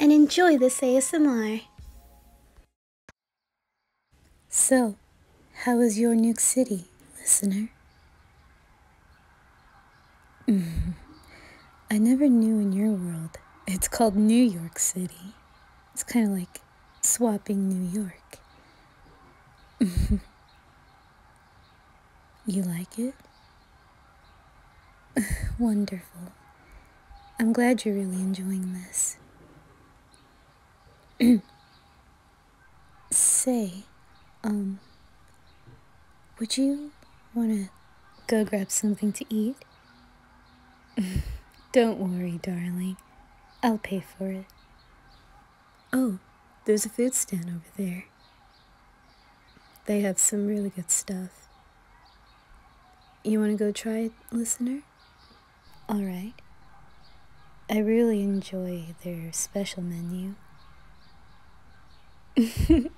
and enjoy this ASMR. So, how is your new city, listener? Mm-hmm. I never knew in your world it's called New York City. It's kind of like swapping New York. you like it? Wonderful. I'm glad you're really enjoying this. Say, um, would you want to go grab something to eat? Don't worry, darling. I'll pay for it. Oh, there's a food stand over there. They have some really good stuff. You want to go try it, listener? All right. I really enjoy their special menu.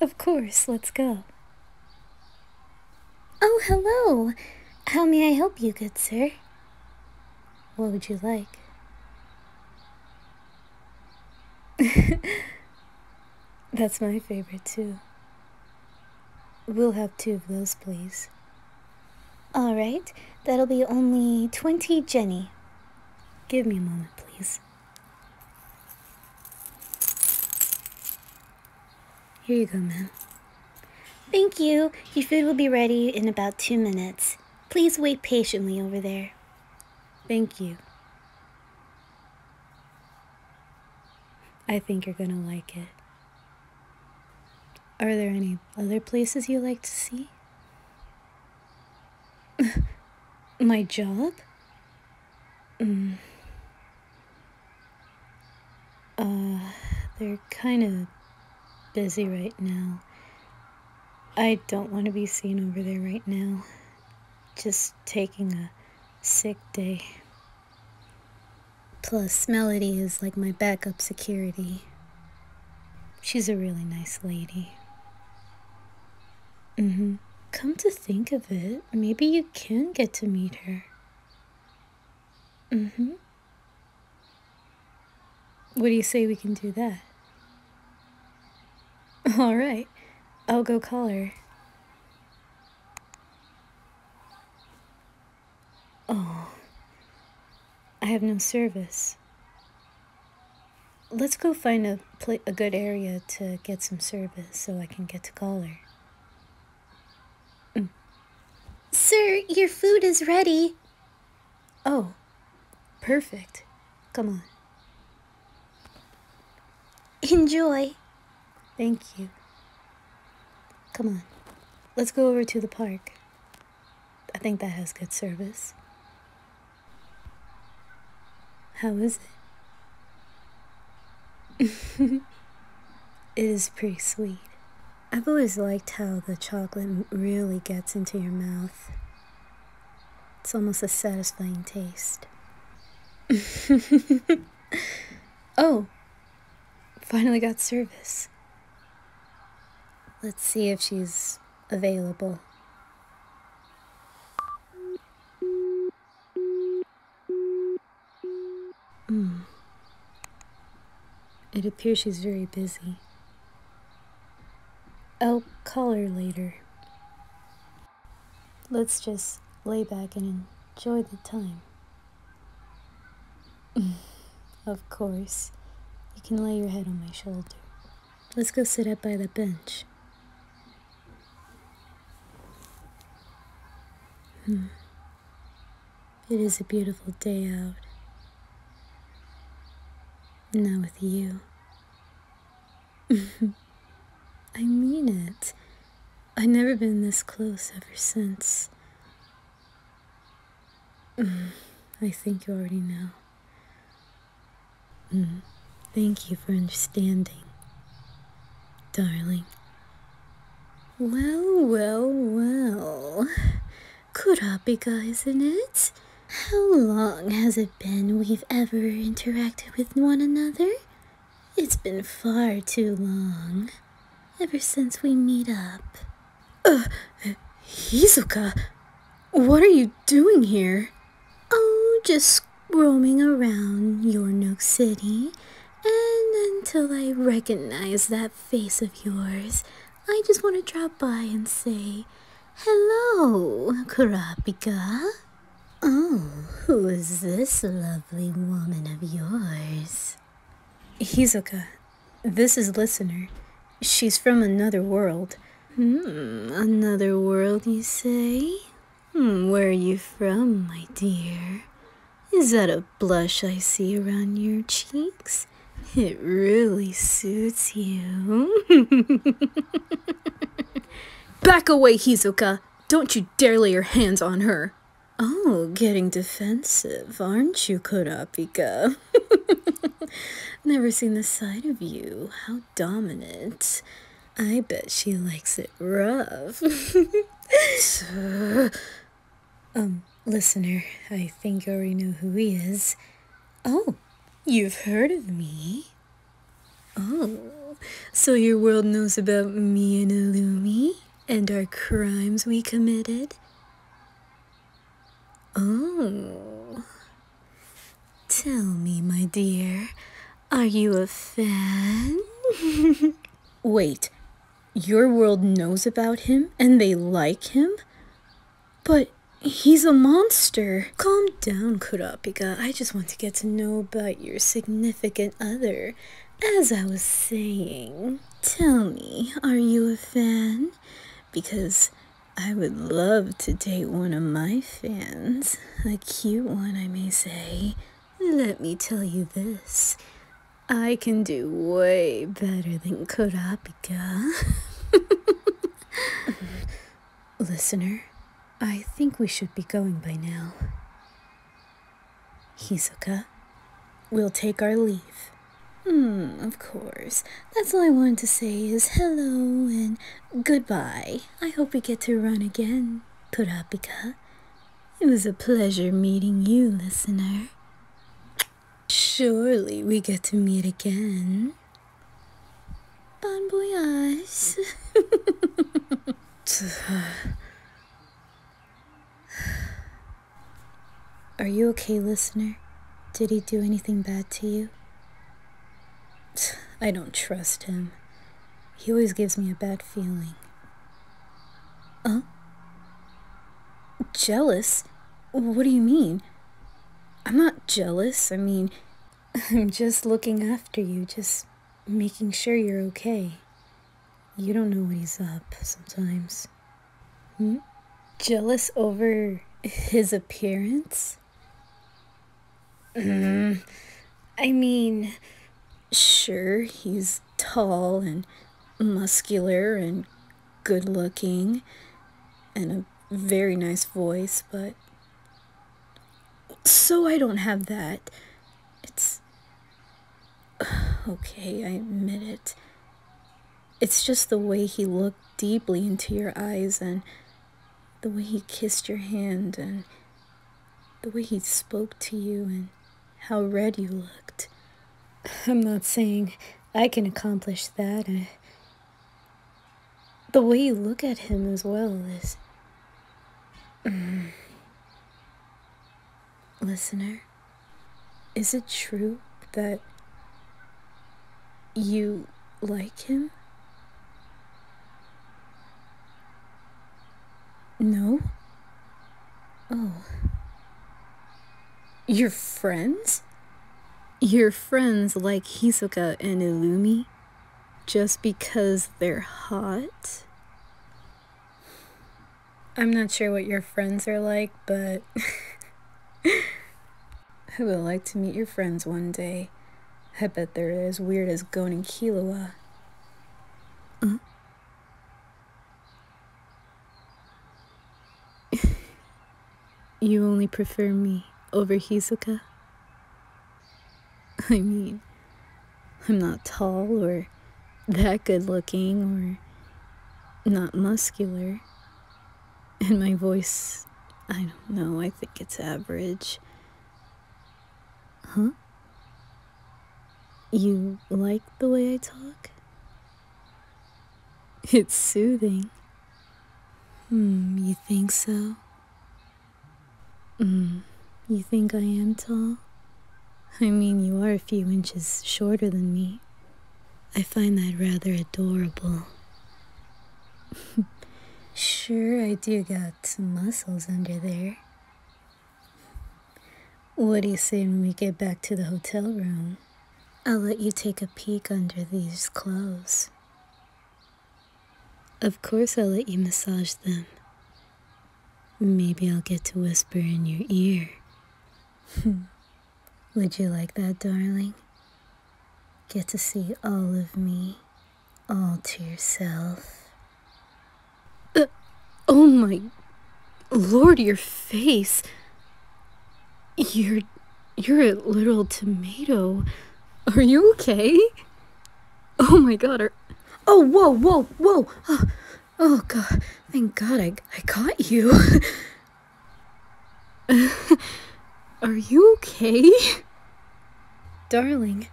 of course, let's go. Oh, hello. How may I help you, good sir? What would you like? That's my favorite too. We'll have two of those, please. Alright, that'll be only 20 Jenny. Give me a moment, please. Here you go, ma'am. Thank you. Your food will be ready in about two minutes. Please wait patiently over there. Thank you. I think you're gonna like it. Are there any other places you like to see? My job? Mm. Uh, they're kind of busy right now. I don't want to be seen over there right now. Just taking a sick day. Plus, Melody is like my backup security. She's a really nice lady. Mm hmm. Come to think of it, maybe you can get to meet her. Mm hmm. What do you say we can do that? All right, I'll go call her. Oh, I have no service. Let's go find a, a good area to get some service so I can get to call her. Mm. Sir, your food is ready. Oh, perfect. Come on. Enjoy. Thank you. Come on. Let's go over to the park. I think that has good service. How is it? it is pretty sweet. I've always liked how the chocolate really gets into your mouth. It's almost a satisfying taste. oh, finally got service. Let's see if she's available. Mm. It appears she's very busy. I'll call her later. Let's just lay back and enjoy the time. of course, you can lay your head on my shoulder. Let's go sit up by the bench. Hmm. It is a beautiful day out. Not with you. I mean it. I've never been this close ever since. I think you already know. Mm. thank you for understanding, darling. Well, well, well. Kurapika, isn't it? How long has it been we've ever interacted with one another? It's been far too long. Ever since we meet up. Uh, Hizuka, what are you doing here? Oh, just roaming around No City, and until I recognize that face of yours, I just want to drop by and say Hello, Kurapika. Oh, who is this lovely woman of yours? Hizuka, this is Listener. She's from another world. Hmm, another world, you say? Hmm, where are you from, my dear? Is that a blush I see around your cheeks? It really suits you. Back away, Hizuka! Don't you dare lay your hands on her! Oh, getting defensive, aren't you, Kurapika? Never seen the side of you. How dominant. I bet she likes it rough. um, listener, I think you already know who he is. Oh, you've heard of me. Oh, so your world knows about me and Illumi and our crimes we committed? Oh. Tell me, my dear, are you a fan? Wait, your world knows about him and they like him? But he's a monster. Calm down, Kurapika. I just want to get to know about your significant other. As I was saying, tell me, are you a fan? Because I would love to date one of my fans. A cute one, I may say. Let me tell you this. I can do way better than Kurapika. Listener, I think we should be going by now. Hizuka, we'll take our leave. Hmm, of course. That's all I wanted to say is hello and goodbye. I hope we get to run again, Kurapika. It was a pleasure meeting you, listener. Surely we get to meet again. Bon voyage. Are you okay, listener? Did he do anything bad to you? I don't trust him. He always gives me a bad feeling. Huh? Jealous? What do you mean? I'm not jealous. I mean, I'm just looking after you, just making sure you're okay. You don't know when he's up sometimes. Hmm? Jealous over his appearance? Hmm. I mean, sure, he's tall and muscular and good looking and a very nice voice, but so I don't have that. It's. Okay, I admit it. It's just the way he looked deeply into your eyes and the way he kissed your hand and the way he spoke to you and how red you looked. I'm not saying I can accomplish that. I, the way you look at him as well is. Mm, listener, is it true that you like him? No? Oh. Your friends? your friends like Hisoka and Illumi just because they're hot? I'm not sure what your friends are like, but I would like to meet your friends one day. I bet they're as weird as Gon and Killua. Uh You only prefer me over Hizuka? I mean, I'm not tall or that good looking or not muscular. And my voice, I don't know, I think it's average. Huh? You like the way I talk? It's soothing. Hmm, you think so? Hmm, you think I am tall? I mean, you are a few inches shorter than me. I find that rather adorable. sure, I do got some muscles under there. What do you say when we get back to the hotel room? I'll let you take a peek under these clothes. Of course, I'll let you massage them. Maybe I'll get to whisper in your ear. Would you like that, darling? Get to see all of me, all to yourself. Uh, oh my lord, your face! Your. You're a little tomato. Are you okay? Oh my god, Oh, whoa, whoa, whoa! Oh, oh god, thank god I, I caught you. are you okay? Darling.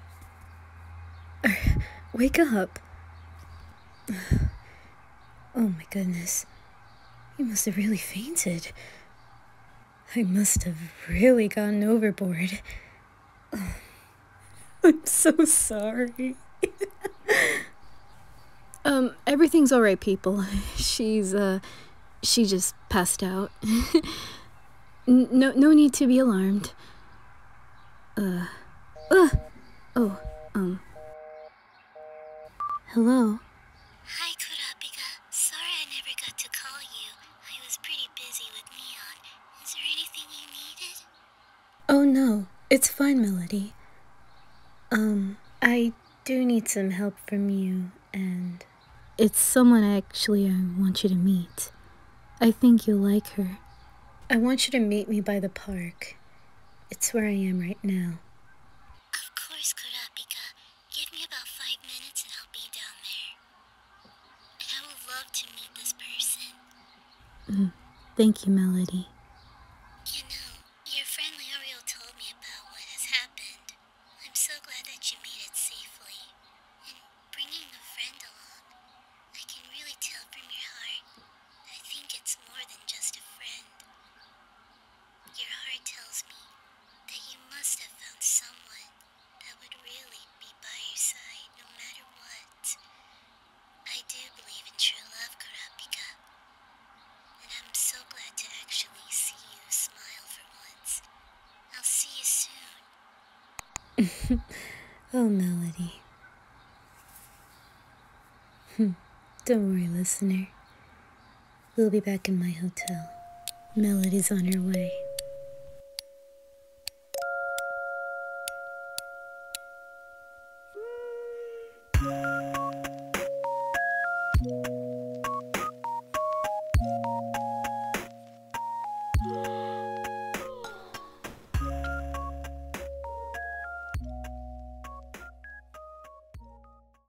Wake up. Oh my goodness. You must have really fainted. I must have really gone overboard. I'm so sorry. um, everything's alright, people. She's, uh, she just passed out. no, no need to be alarmed. Uh, uh, oh, um. Hello? Hi, Kurapika. Sorry I never got to call you. I was pretty busy with Neon. Is there anything you needed? Oh no, it's fine, Melody. Um, I do need some help from you, and it's someone actually I uh, want you to meet. I think you'll like her. I want you to meet me by the park. It's where I am right now. Of course, Kurapika. Give me about five minutes and I'll be down there. And I would love to meet this person. Mm. Thank you, Melody. You know, your friend L'Oreal told me about what has happened. I'm so glad that you made it safely. And bringing a friend along, I can really tell from your heart. I think it's more than just a friend. Your heart tells me that you must have found someone that would really be by your side no matter what. I do believe in true love, Kurapika, and I'm so glad to actually see you smile for once. I'll see you soon. oh, Melody. Hmm. Don't worry, listener. We'll be back in my hotel. Melody's on her way.